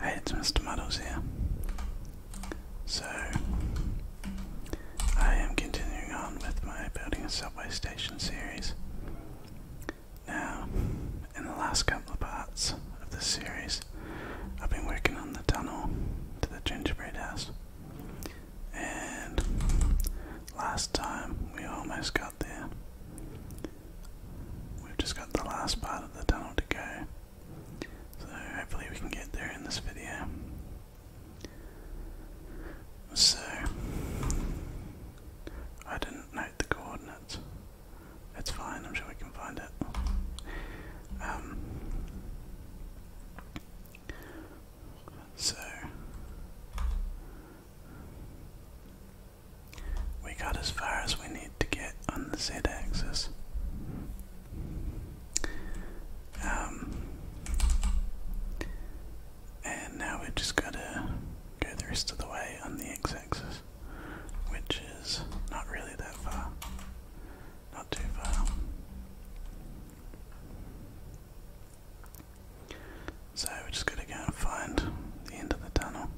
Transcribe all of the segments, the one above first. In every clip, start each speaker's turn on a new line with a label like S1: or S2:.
S1: Hey, it's Mr. Muddles here. So, I am continuing on with my building a subway station series. Now, in the last couple of parts of this series, I've been working on the tunnel to the gingerbread house. And last time we almost got there. We've just got the last part of the tunnel to go, so hopefully we can get there in this video. So, I didn't note the coordinates. It's fine, I'm sure we can find it. Um, so, we got as far as we need to get on the z axis. Um, and now we just gotta go the rest of the way on the x axis, which is not really that far. Not too far. So we're just gonna go and find the end of the tunnel.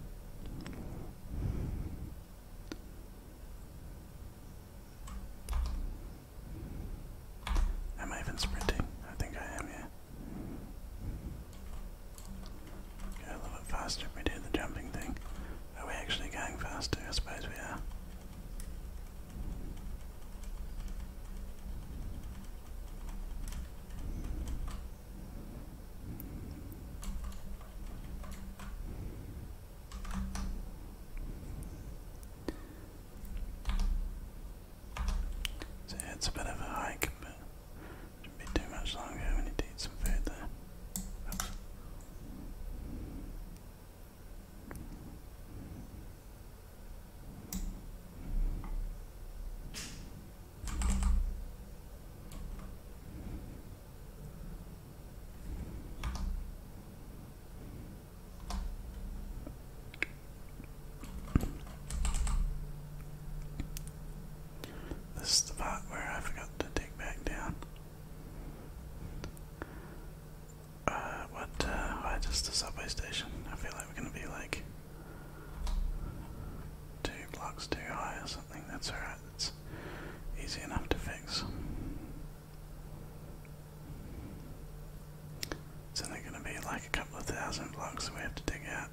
S1: Am I even sprinting? I think I am, yeah. Go a little bit faster we do the jumping thing. Are we actually going faster? I suppose we are. So it's a bit of a hike, but shouldn't be too much longer. We need to eat some food there. This is the part where I forgot to dig back down. Uh, what, uh, why just a subway station? I feel like we're gonna be like two blocks too high or something, that's alright. It's easy enough to fix. It's only going to be like a couple of thousand blocks we have to dig out.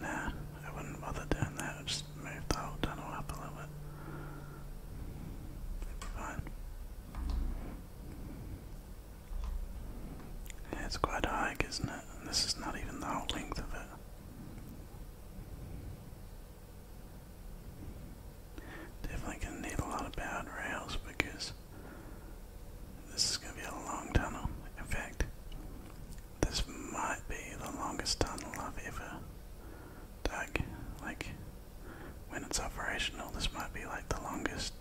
S1: Nah, I wouldn't bother doing that. just move the whole tunnel up a little bit. It'll be fine it's quite a hike, isn't it? And this is not even the whole length of it. Definitely gonna need a lot of powered rails because this is gonna be a long tunnel. In fact, this might be the longest tunnel I've ever dug. Like when it's operational, this might be like the longest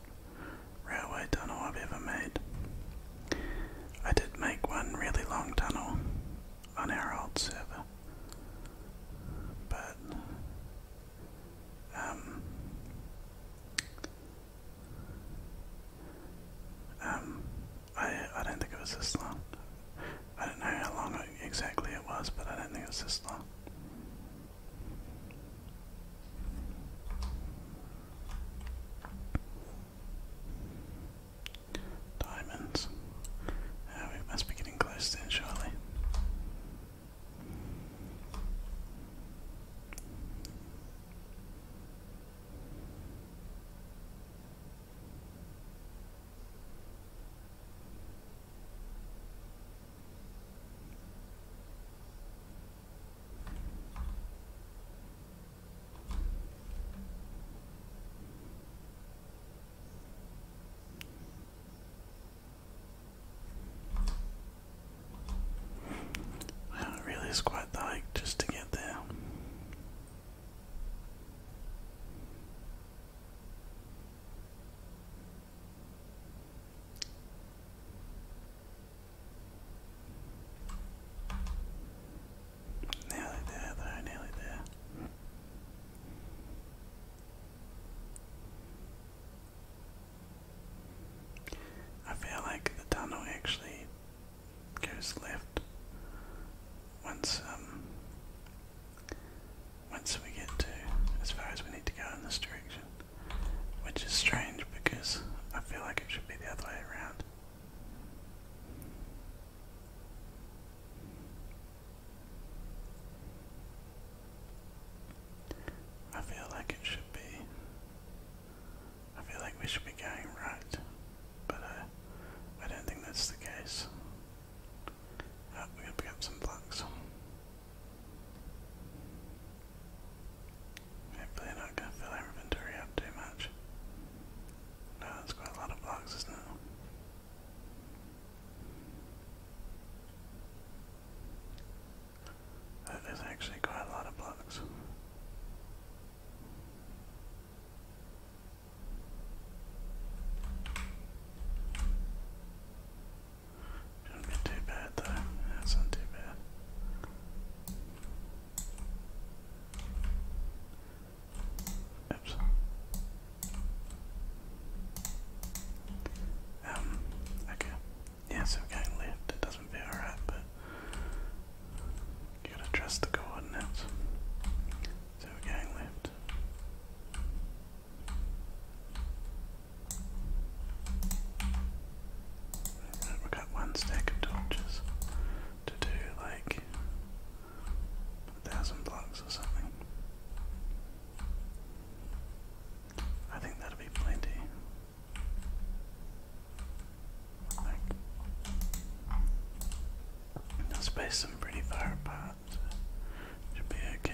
S1: railway tunnel I've ever made. I did make one really long tunnel on our old server, but um, um, I I don't think it was this long. I don't know how long exactly it was, but I don't think it was this long. Diamonds. Oh, we must be getting close then, surely. Wow, it really is quite the hike just to get there. Nearly there, nearly there. I feel like the tunnel actually goes left once um, once we get to as far as we need to go in this direction. Which is strange because I feel like it should be the other way around. I feel like it should be. I feel like we should be going right, but uh, I don't think that's the case. Oh, we're to pick up some blocks. Hopefully not going to fill our inventory up too much. No, that's quite a lot of blocks, isn't it? That is actually quite a lot of blocks. Shouldn't be too bad though. That's not too bad. Oops. Um, okay. Yeah, so we're going left. It doesn't feel alright, but you gotta trust the coordinates. So we're going left we got one stack of torches to do like a thousand blocks or something. I think that'll be plenty. Like, I'll space them pretty far apart. So should be okay.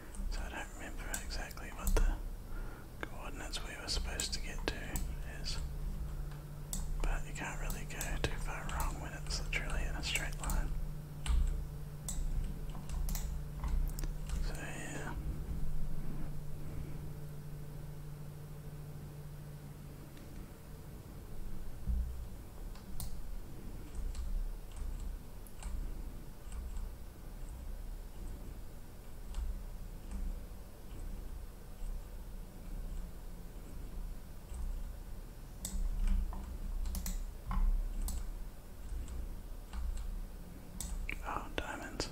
S1: So I don't remember exactly what the coordinates we were supposed to get to is. But you can't really go too far wrong when it's literally in a straight line. So yeah. Oh, diamonds.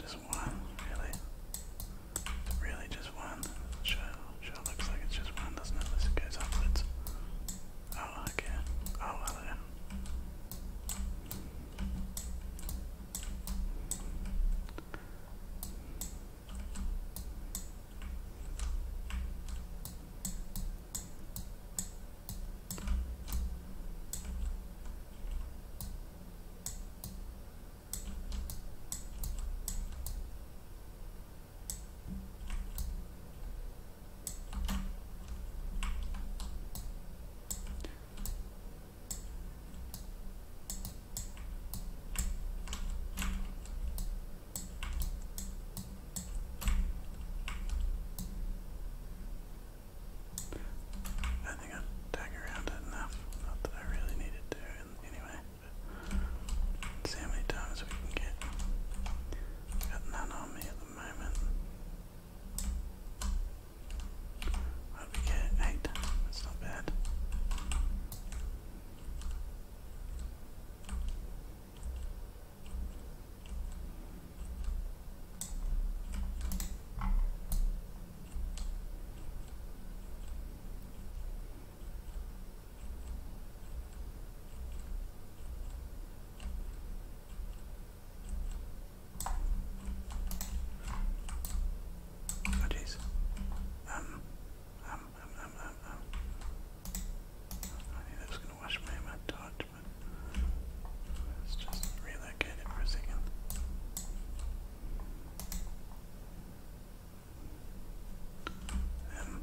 S1: Just one, really? Really, just one? Sure, sure looks like it's just one, doesn't it? Unless it goes upwards. Oh, okay. Oh, hello. I think I've dug around enough, not that I really needed to anyway see how many times we can get. got none on me at the moment. What we get? Eight. That's not bad. Oh jeez. Um, um, um, um, um, I knew that was going to wash my torch, but let just relocate it for a Um,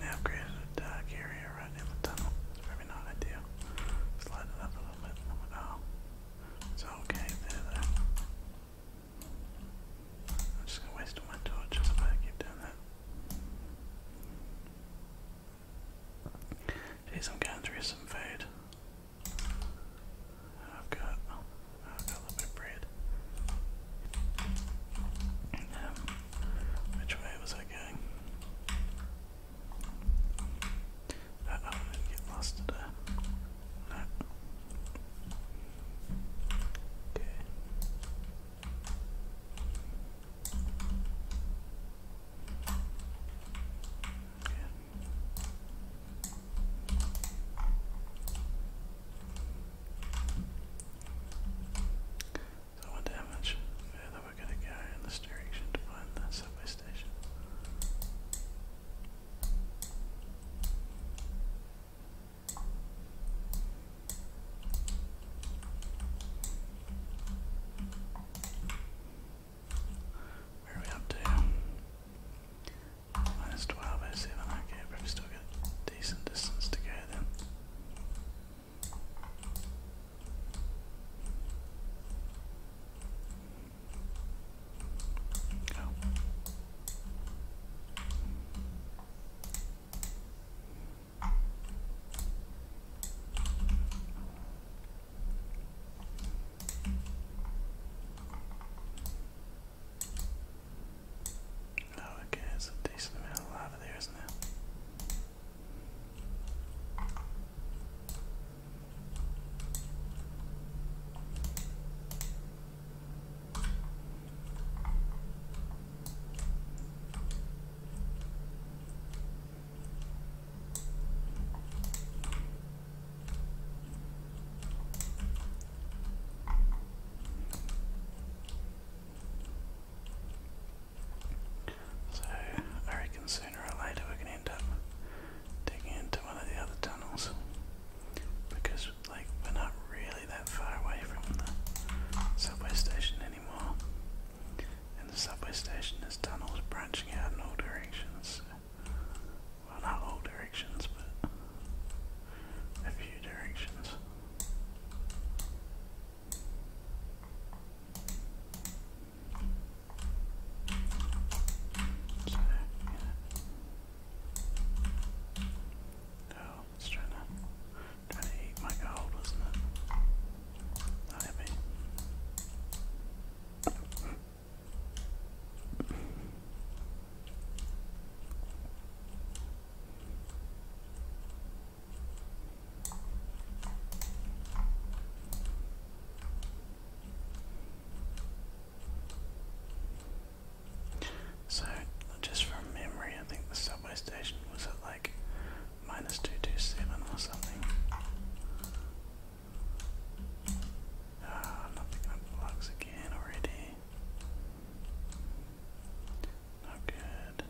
S1: They upgraded the area right in the tunnel. It's probably not ideal. Slide it up a little bit. Oh, it's okay. There, there. I'm just gonna waste all my torches I keep doing that. Jeez, I'm some food. I've got, I've got a little bit of bread. Um, which way was I going? I didn't get lost today. No. Okay. So I wonder further we're going to go in this direction to find the subway station. Where are we up to? Minus 1207, okay, but we still got a decent distance to go then. Oh. okay, it's a decent amount of there, isn't it? So I reckon sooner or later we're going to end up digging into one of the other tunnels because like, we're not really that far away from the subway station anymore. And the subway station has tunnels branching out in all directions. Well, not all directions, but a few directions. So, yeah. Oh, it's trying to, trying to eat my gold, isn't it? Not happy. So, just from memory, I think the subway station was at like minus 227 or something. Ah, I'm again already. Not good.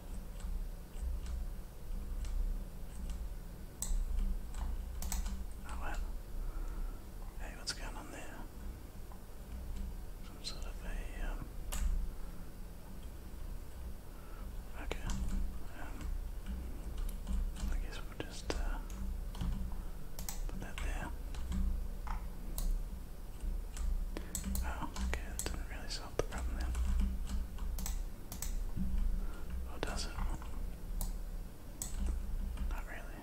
S1: Oh well. Hey, what's going on there? some sort of a, okay, I guess we'll just, put that there. Oh, okay, that didn't really solve the problem then. does it? Not really.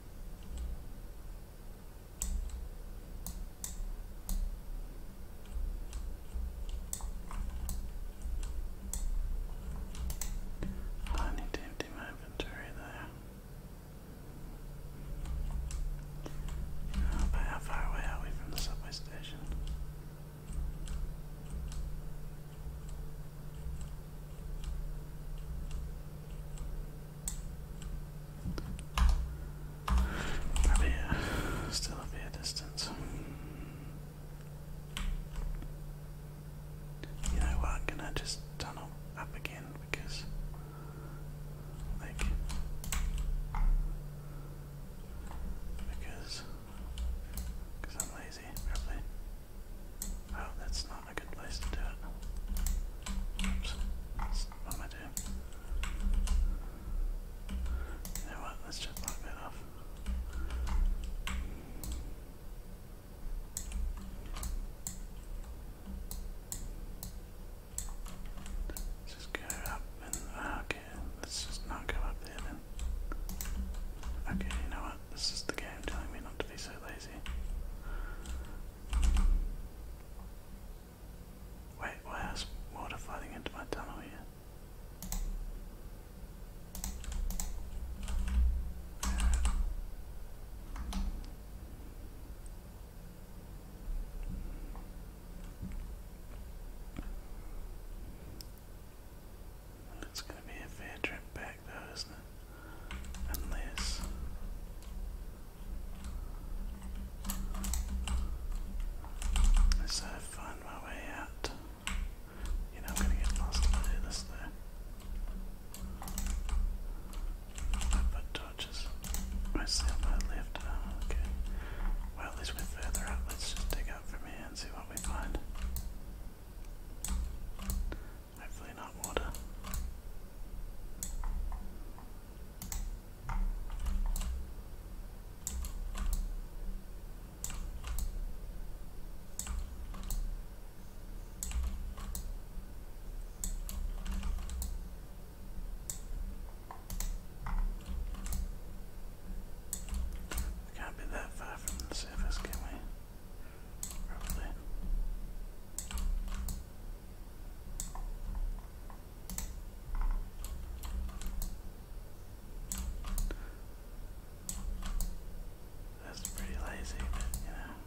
S1: I need to empty my inventory there. how far away are we from the subway station? still be a distance. You know what? i just tunnel up again because, like, because, because I'm lazy, probably. Oh, that's not a good place to do it. Oops, what am I doing? You know what, let's just knock that off. just go up and, ah, okay, let's just not go up there Okay, you know what? This is the game telling me not to be so lazy. Wait, why water flooding into my tunnel here? It's going to be a fair trip back back though, not it? Uh, find my way out. You know I'm gonna get lost if I do this though. I put torches mostly on left. okay. Well at least we're further up. Let's just dig up from here and see what we find. Hopefully not water. can't be that far from the surface, can we? That's pretty lazy, you know,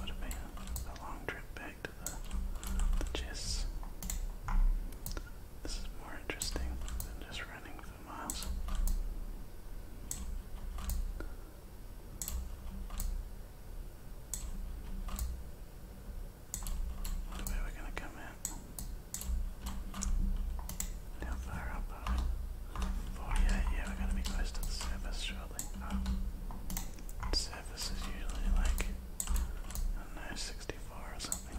S1: would have been a long trip back to the the chests. This is more interesting than just running miles. What are we going to come in? How far up 48, yeah, we're going to be close to the surface shortly. surface is usually like, I know, 64 or something.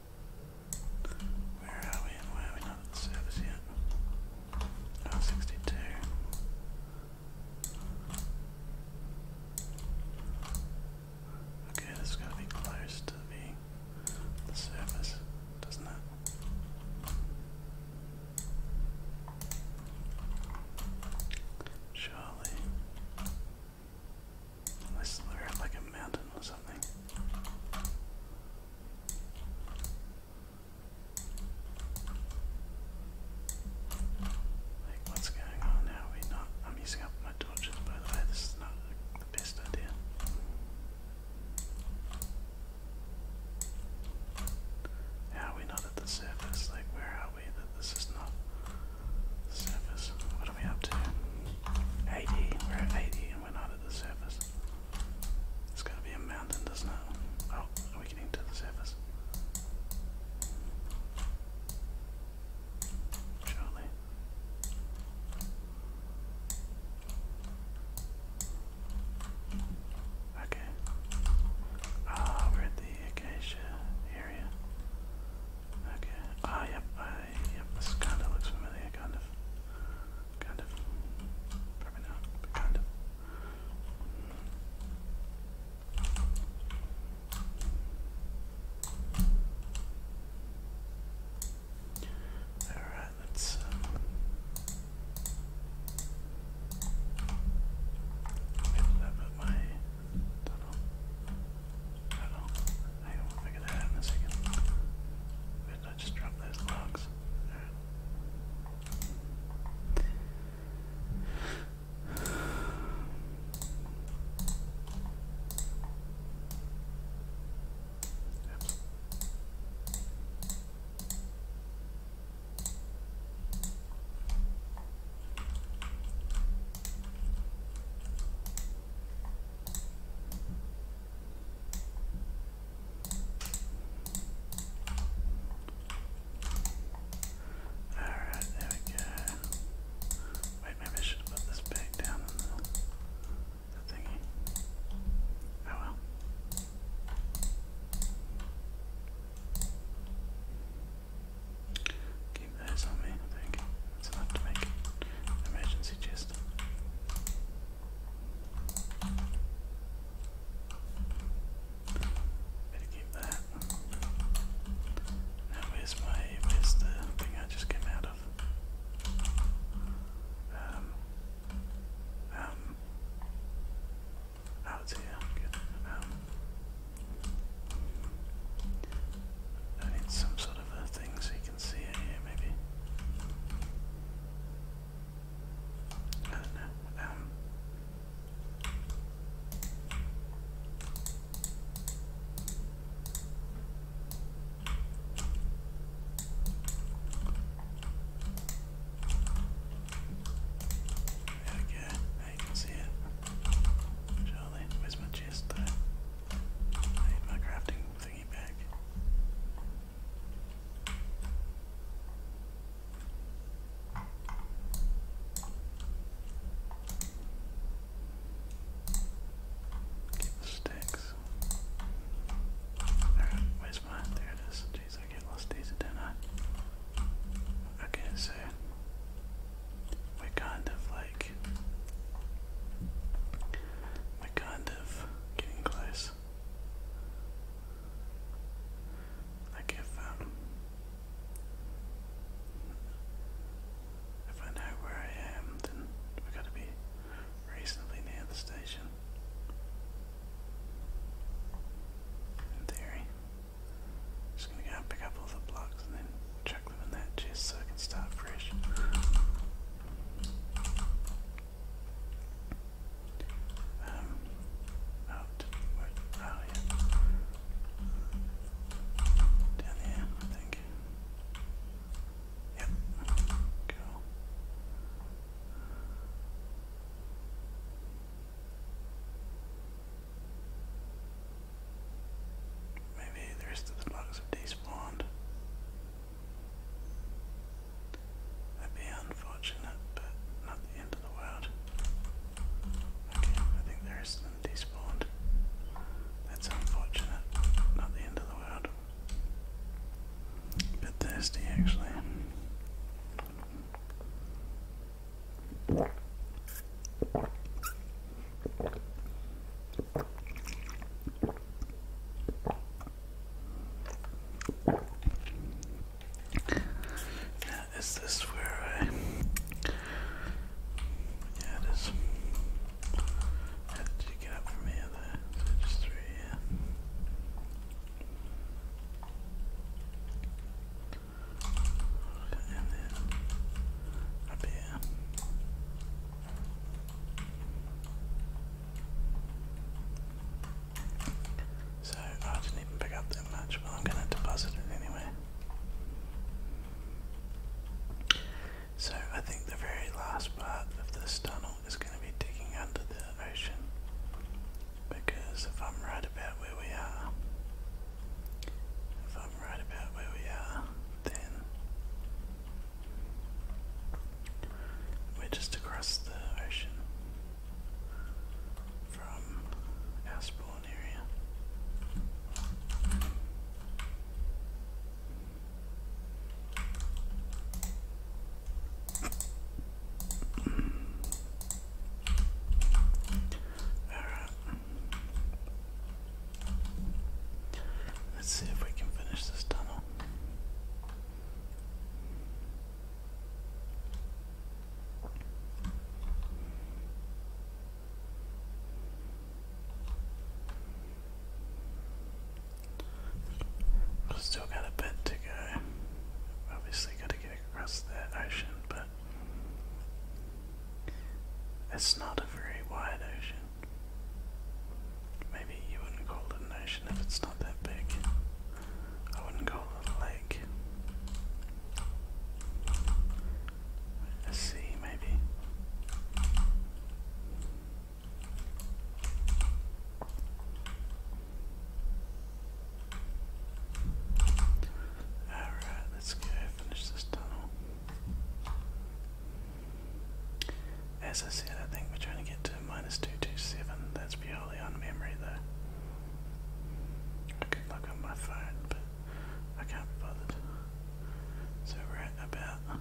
S1: Where are we and why are we not at the service yet? Oh, 62. Okay, this got to be close to the, the surface, doesn't it? Surely. Unless they're like a mountain or something. Like what's going on now? Are not I'm using up my torches by the way, this is not the best idea. How are we not at the surface? Like where are we that this is not the surface? What are we up to? 80, we're at 80 and went out of the surface. It's to be a mountain, doesn't it? Oh, are we getting to the surface? Surely. Okay. Ah, we're at the Acacia area. Okay. Ah, yep, Yep, this kind of looks familiar, kind of. Kind of. Probably not, kind of. Alright, let's um Maybe put my tunnel. I don't know. that in a second. I just drop those logs. Alright. Oops. Alright, there we go. Wait, maybe I should put this back down the, thingy. Oh well. Keep those on me, I think. It's enough to make emergency chest. Better keep that. Now where's my where's the thing I just came out of? Um um Oh here, Um I need some sort of a thing so you can see it here maybe. I don't know. there we go. Now you can see it. Surely, where's my chest my crafting thingy back. Keep the where's mine? There it is. Jeez, I get lost easy, don't I? Okay, so we're kind of like we're kind getting close. Like if um if I know where I am then we've got to be reasonably near the station. In theory. just gonna go and pick up all the blocks and then chuck them in that chest so I can start fresh. Um, out, where, Down here, I think. Yep, cool. Maybe the rest of the bugs have despawned. That'd be unfortunate, but not the end of the world. Okay, I think the rest despawned. That's unfortunate, not the end of the world. bit thirsty actually. Now, is this where I? Yeah, it is. did you get up from here? just through here. And then up here. So I didn't even pick up that much, but I'm going to deposit it anyway. So I think the very last part of this tunnel is going to be digging under the ocean because if I'm right about where we are, if I'm right about where we are, then we're just across the ocean from our spawn area. Alright. Let's see if we can finish this tunnel. I have still got a bit to go. Obviously, got to get across that ocean, but it's not a very wide ocean. Maybe you wouldn't call it an ocean if it's not that big. I wouldn't call it a lake. A sea, maybe. Alright, let's go finish this tunnel. As I said, I think we're trying to get to minus 227. That's purely on memory, though. I could look on my phone, but I can't be bothered. So we're at about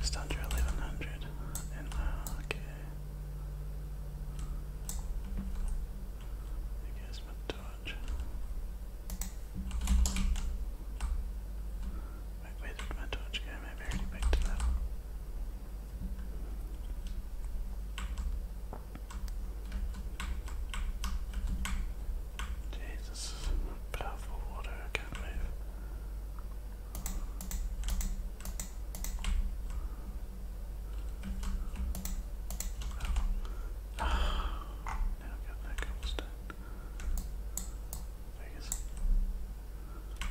S1: just under 1100. Uh, okay. There goes my torch. Wait, where did my I already picked it up. Jeez, this water, I can't move. Oh. now I've got Vegas. Um,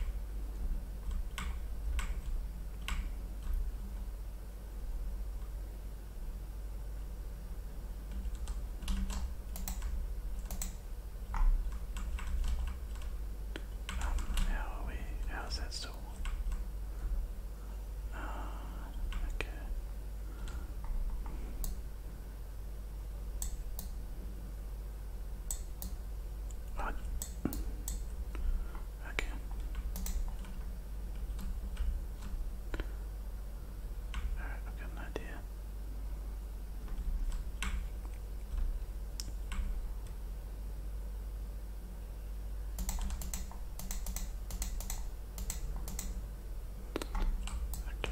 S1: how are we? How is that still? Uh, okay. Right. Okay. Alright, I've got an idea. Okay.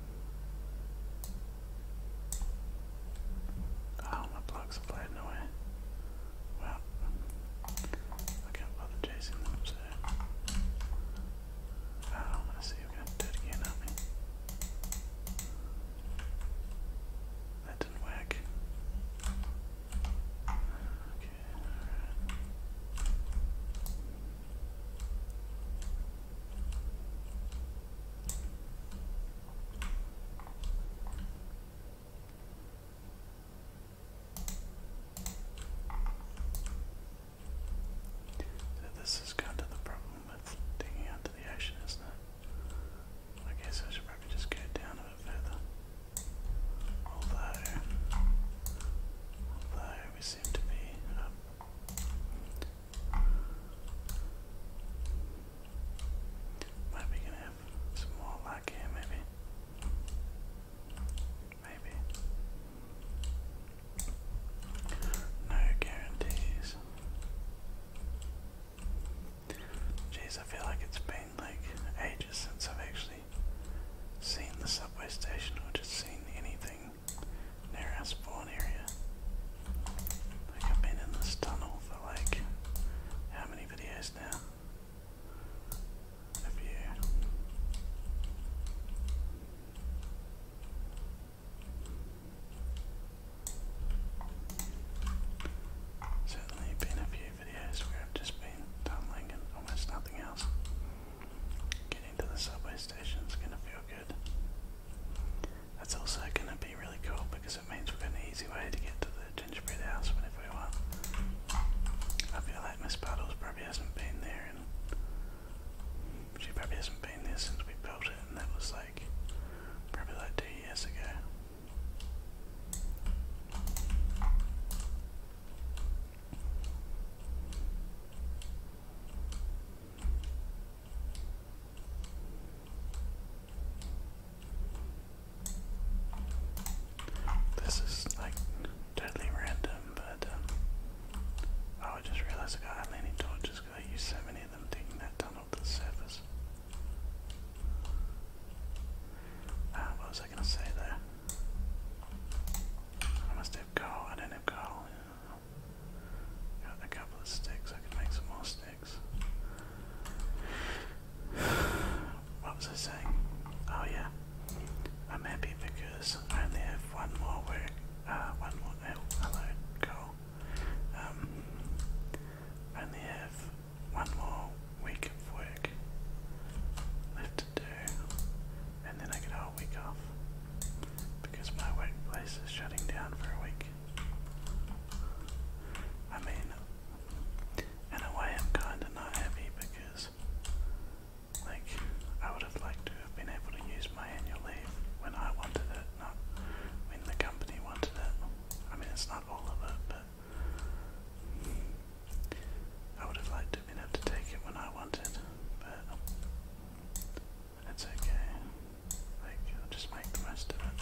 S1: Oh, my blocks are blowing away. Well, I can't bother chasing them, so. Oh, i see you're going to again, aren't That didn't work. Okay, this is kind of the problem with digging out the ocean, isn't it? I guess I should probably just go down a bit further. Although, although we seem to be um, might be gonna have some more luck here, maybe. Maybe. No guarantees. Jeez, I feel like it's been like ages since I've actually seen the subway station or just seen anything near our spawn area. Like I've been in this tunnel for like how many videos now? A few. Certainly been a few videos where I've just been tunneling and almost nothing else. Getting to the subway station's gonna feel good. That's also going to be really cool because it means we've got an easy way to get to the gingerbread house whenever we want. I feel like Miss Puddles probably hasn't been there and she probably hasn't been there since we built it and that was like probably like two years ago. This is like totally random, but um, oh, I just realized I got how torches because I used so many of them digging that tunnel to the surface. Ah, what was I gonna say there? I must have coal. I don't have Got a couple of sticks. I can make some more sticks. What was I saying? Oh yeah, I'm happy because I only have one more work. Uh, one more. hello, coal. Um, only have one more week of work left to do, and then I get a whole week off because my workplace is shutting down for a week. I mean, in a way, I'm kind of not happy because, like, I would have liked to have been able to use my annual leave when I wanted it, not when the company wanted it. I mean, it's not all of it, but. I would have liked to have been able to take it when I wanted, but that's okay. Like, I'll just make the most of it.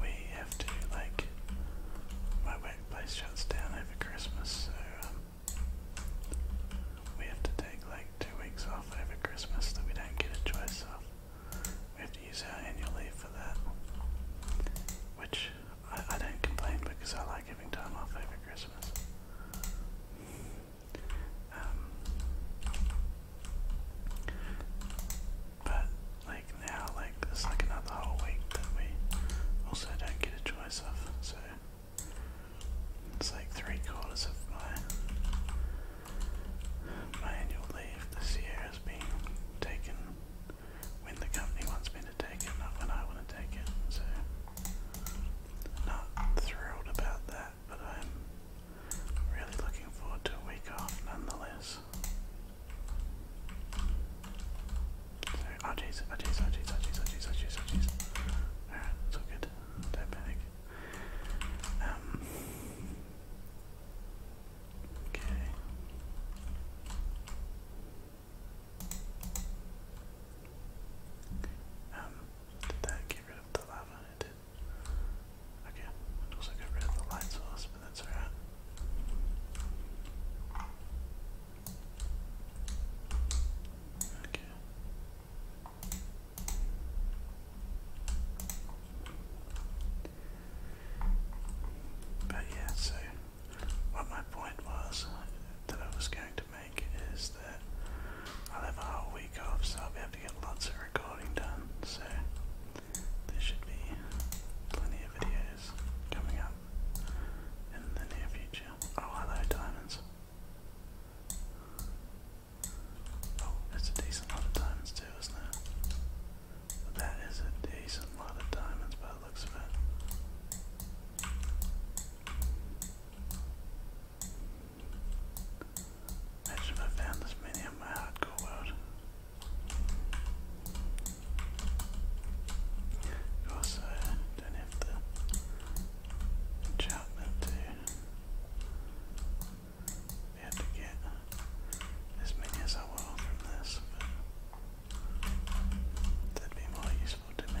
S1: We have to, like, my workplace shuts down over Christmas, so um, we have to take like two weeks off over Christmas that we don't get a choice of. We have to use our annual leave for that, which I, I don't complain because I like giving time off over Christmas. Um, but like now, like there's like another whole week that we also don't get a choice of, so it's like three quarters of my my annual leave this year has been taken when the company wants me to take it, not when I want to take it. So not thrilled about that, but I'm really looking forward to a week off nonetheless. So, oh jeez, oh jeez, oh jeez, oh, oh, oh, oh Alright, it's all good. Don't panic. Um, okay. Um, did that get rid of the lava? It did. Okay, also got rid of the light source, but that's alright. Okay. But yeah, so what my point was that I was going is that I'll have a whole week off, so I'll be able to get lots of recording done. So there should be plenty of videos coming up in the near future. Oh, hello, diamonds. Oh, it's a decent lot of diamonds too, isn't it? That is a decent lot of diamonds by the looks of Imagine if I found this many in my hardcore world. Of course, I don't have the enchantment to be able to get as many as I want from this, that'd be more useful to me.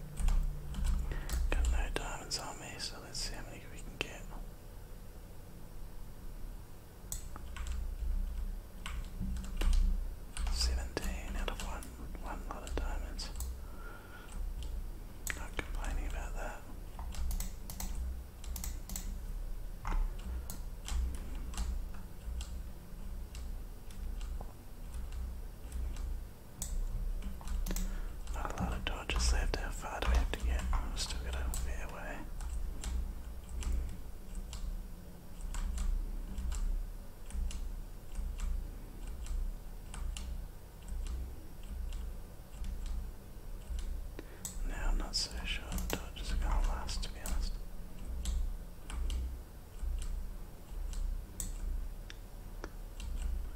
S1: Got no diamonds on me, so let's see how many we can get. Seventeen out of one one lot of diamonds. Not complaining about that. Not a lot of dodges left. How far do we have to get? Oh, we've still got a fair way. Now I'm not so sure the dodges are going to last, to be honest.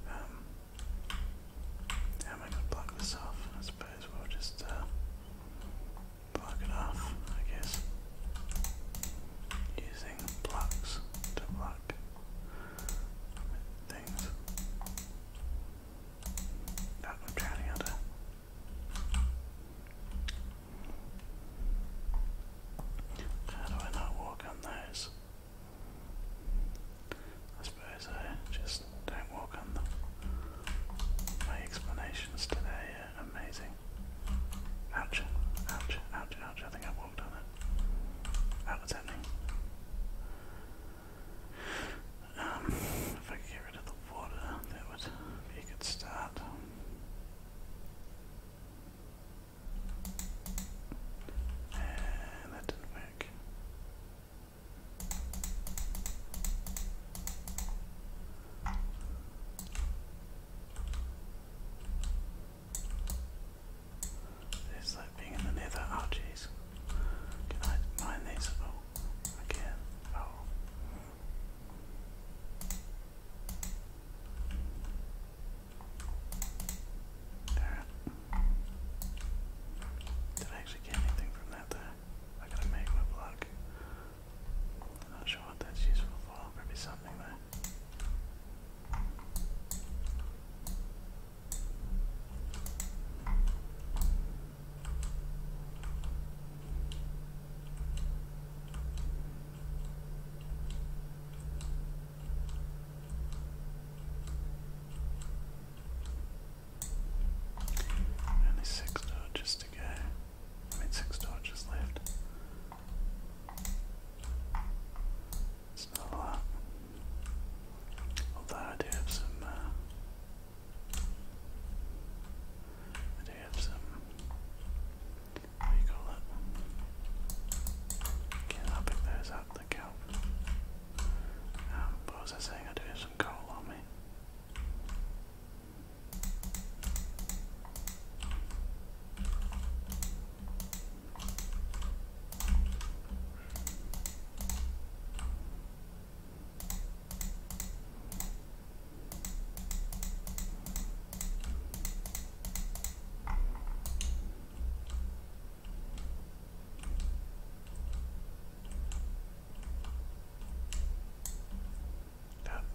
S1: Um, how am I going to block this off? I suppose we'll just block uh, it off, I guess. Using blocks to block things. Oh, i drowning out How do I not walk on those? I suppose I just don't walk on them. My explanations today are amazing. Ouch, ouch, ouch, ouch, I think I walked on it. That happening. Um, if I get rid of the water, that would be a good start. And that didn't work. It's like being in the nether. Oh jeez. Can I mine these? Oh, I Oh. Did I actually get anything from that there? I gotta make my block. am not sure what that's useful for. Probably something there. Only six dodges to go. I mean, six dodges left. It's not a lot. Although I do have some. Uh, I do have some what um, i pick those up, the kelp. what was I saying? I do have some coal on me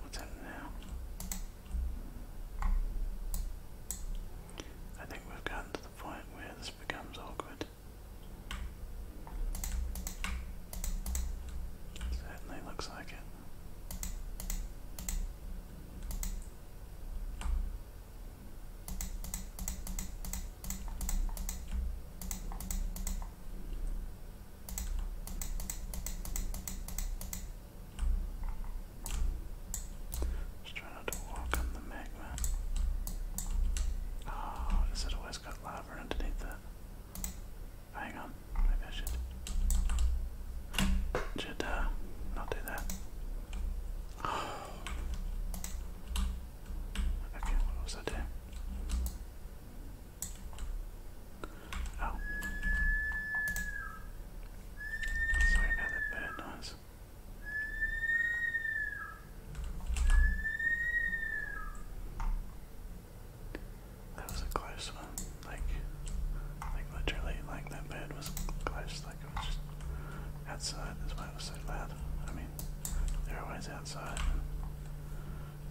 S1: what's happening now? I think we've gotten to the point where this becomes awkward. Certainly looks like it. Just try not to walk on the magma. Oh, ah, because it always got lava underneath it. Hang on, maybe I should. Should uh, not do that. Okay, what was I doing? Oh. Sorry about that bird noise. That was a close one. Like, like literally, like that bird was close outside. That's why it was so loud. I mean, they're always outside.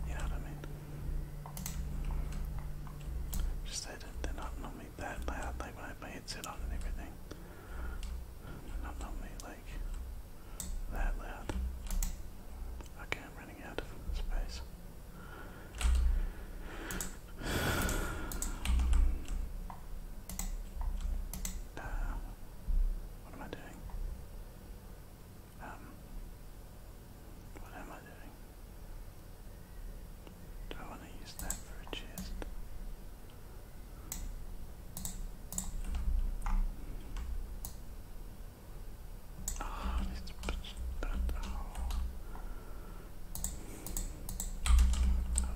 S1: you know what I mean? Just they they're not normally that loud. Like when I put my headset on and everything, not normally like that loud. Okay, I'm running out of space. Uh, what am I doing? Um, what am I doing? Do I want to use that for a chest? Oh, I need to I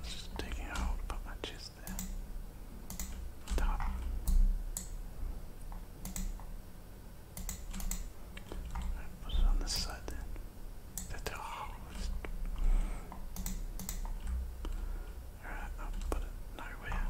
S1: was just taking a hole to put my chest there. Top. Put it on this side then. That's oh, Alright, I'll put it nowhere. Oh,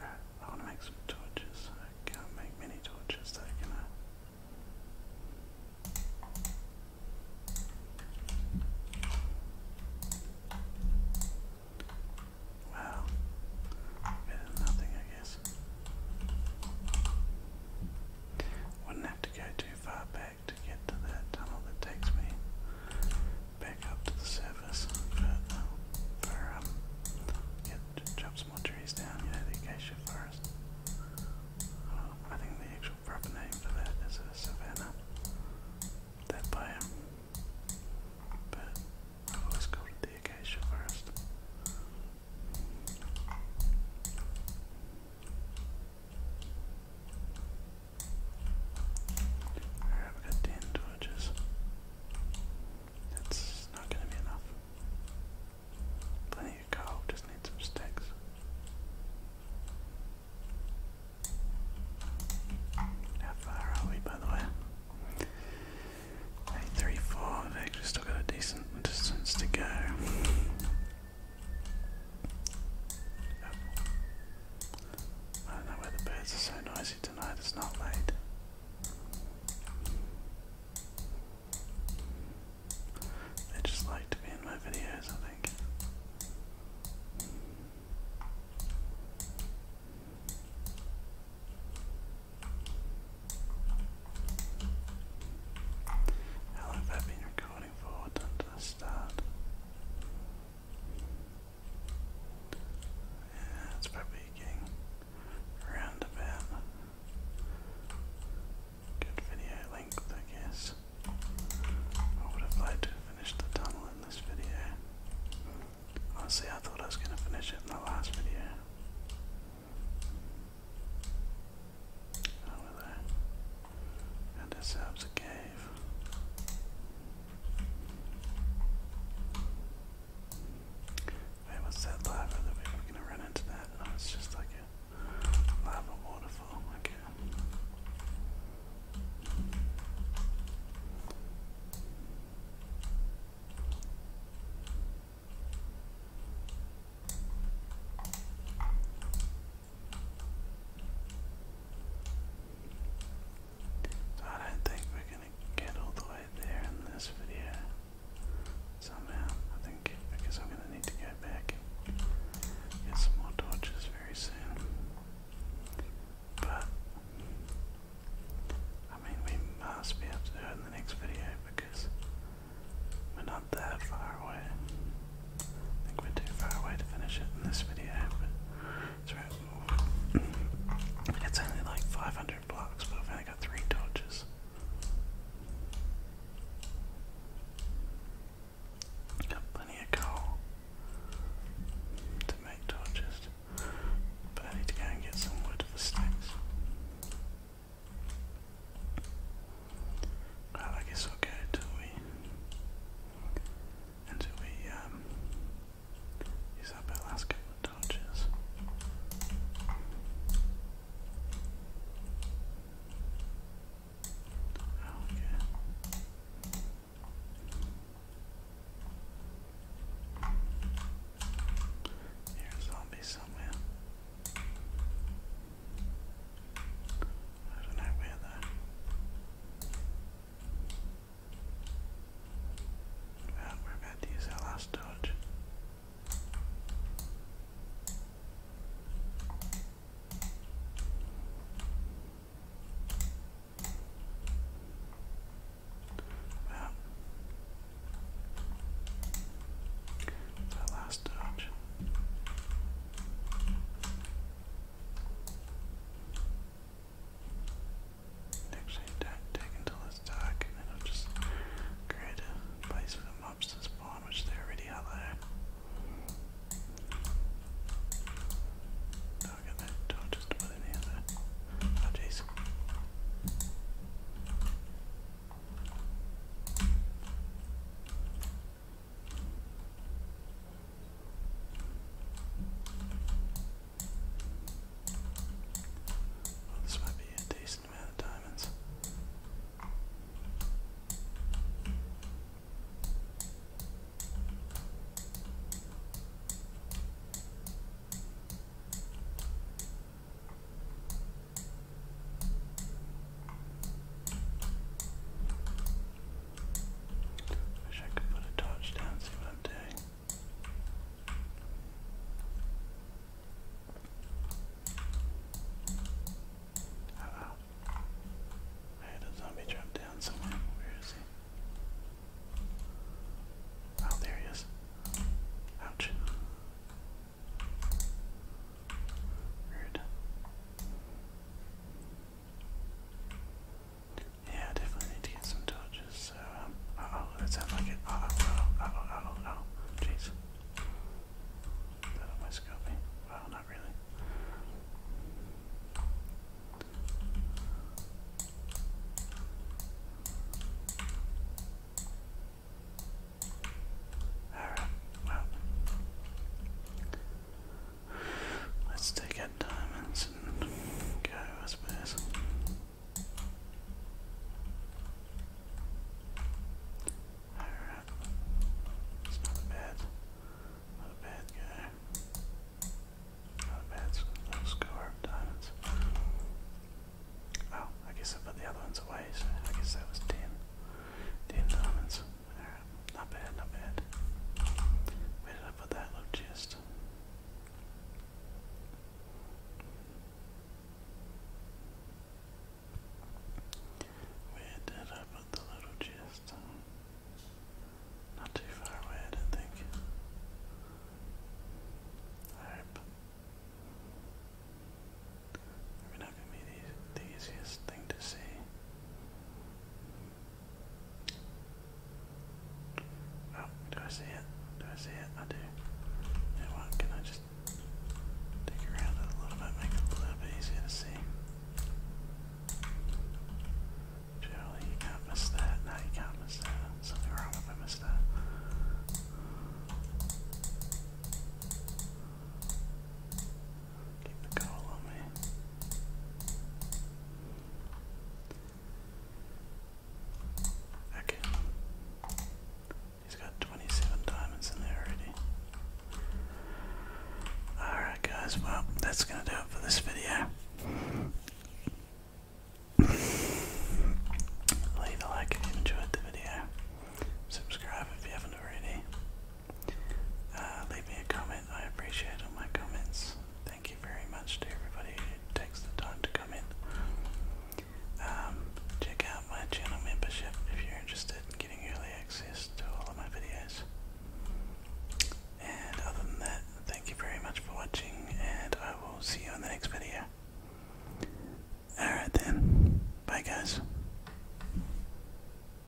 S1: I want to make some torches. I can't make many torches though, can I? Wow, better nothing, I guess. Wouldn't have to go too far back back to get to that tunnel that takes me back up to the surface. But um, for um, yeah, chop some trees down. You know, the acacia forest. Um, I think the actual proper name for that is a savanna. That biome. But I've always called the acacia forest. Alright, we got 10 torches. That's not gonna be enough. Plenty of coal, just need some sticks. How far are we, by the way? Eight, three, four. I've actually still got a decent distance to go. I don't know why the birds are so noisy tonight, it's not late. They just like to be in my videos, I think. How have I been recording? it's probably getting around about good video length, I guess. I would have liked to finish the tunnel in this video. Honestly, I thought I was going to finish it in the last video. Oh, and this helps a cave. Wait, what's that lava we were gonna run into that? Oh, it's just like a lava waterfall, okay. So I don't think we're gonna get all the way there in this video somehow. I think because I'm gonna need to go back and get some more torches very soon. But I mean we must be able to do it in the next video because we're not that far away. I think we're too far away to finish it in this video, but it's only like 500 blocks, but i got three torches. Got plenty of coal to make torches, but I need to go and get some wood for sticks. Well, I guess we'll go until we, until we um, use up our last couple of torches. Oh, okay. Here's a zombie somewhere. I don't know where though. Well, we're about to use our last dodge. Well, our last dodge. Actually, dig until it's dark, and then I'll just create a place for the mobs spawn, which they already are there. Oh, I got that door in the other. Well, oh, this might be a decent amount of diamonds. Wish I could put a torch down, see what I'm doing. Uh oh. zombie drop down somewhere. Where is he? Oh, there he is. Ouch. Weird. Yeah, definitely need to get some torches, so, um, uh, oh let's like it. Uh-oh, uh-oh, uh, uh-oh, uh, uh-oh, uh-oh, jeez. That almost not really. Alright, Let's take out diamonds and go, as suppose. Alright. It's not a bad, not a bad guy. Not a bad score of diamonds. Oh, I guess I put the other ones away, so I guess that was 10. diamonds not bad, not bad. Where did I put that little chest? Where did I put the little chest? Not too far away, I don't think. I Maybe not gonna be the easiest thing to see. Oh, do I see it? Do I see it? I do. Can I just dig around it a little bit, make it a little bit easier to see? Surely you can't miss that. No, you can't miss that. Something wrong if I missed that. Okay. He's got 27 diamonds in there already. Alright, guys, well, that's going to do it for this video. Leave a like if you enjoyed the video. Subscribe if you haven't already. Uh, leave me a comment. I appreciate all my comments. Thank you very much to everybody who takes the time to come um, check out my channel membership if you're interested in getting early access to all of my videos. And other than that, thank you very much for watching, and I will see you in the next video. Alright then, bye guys.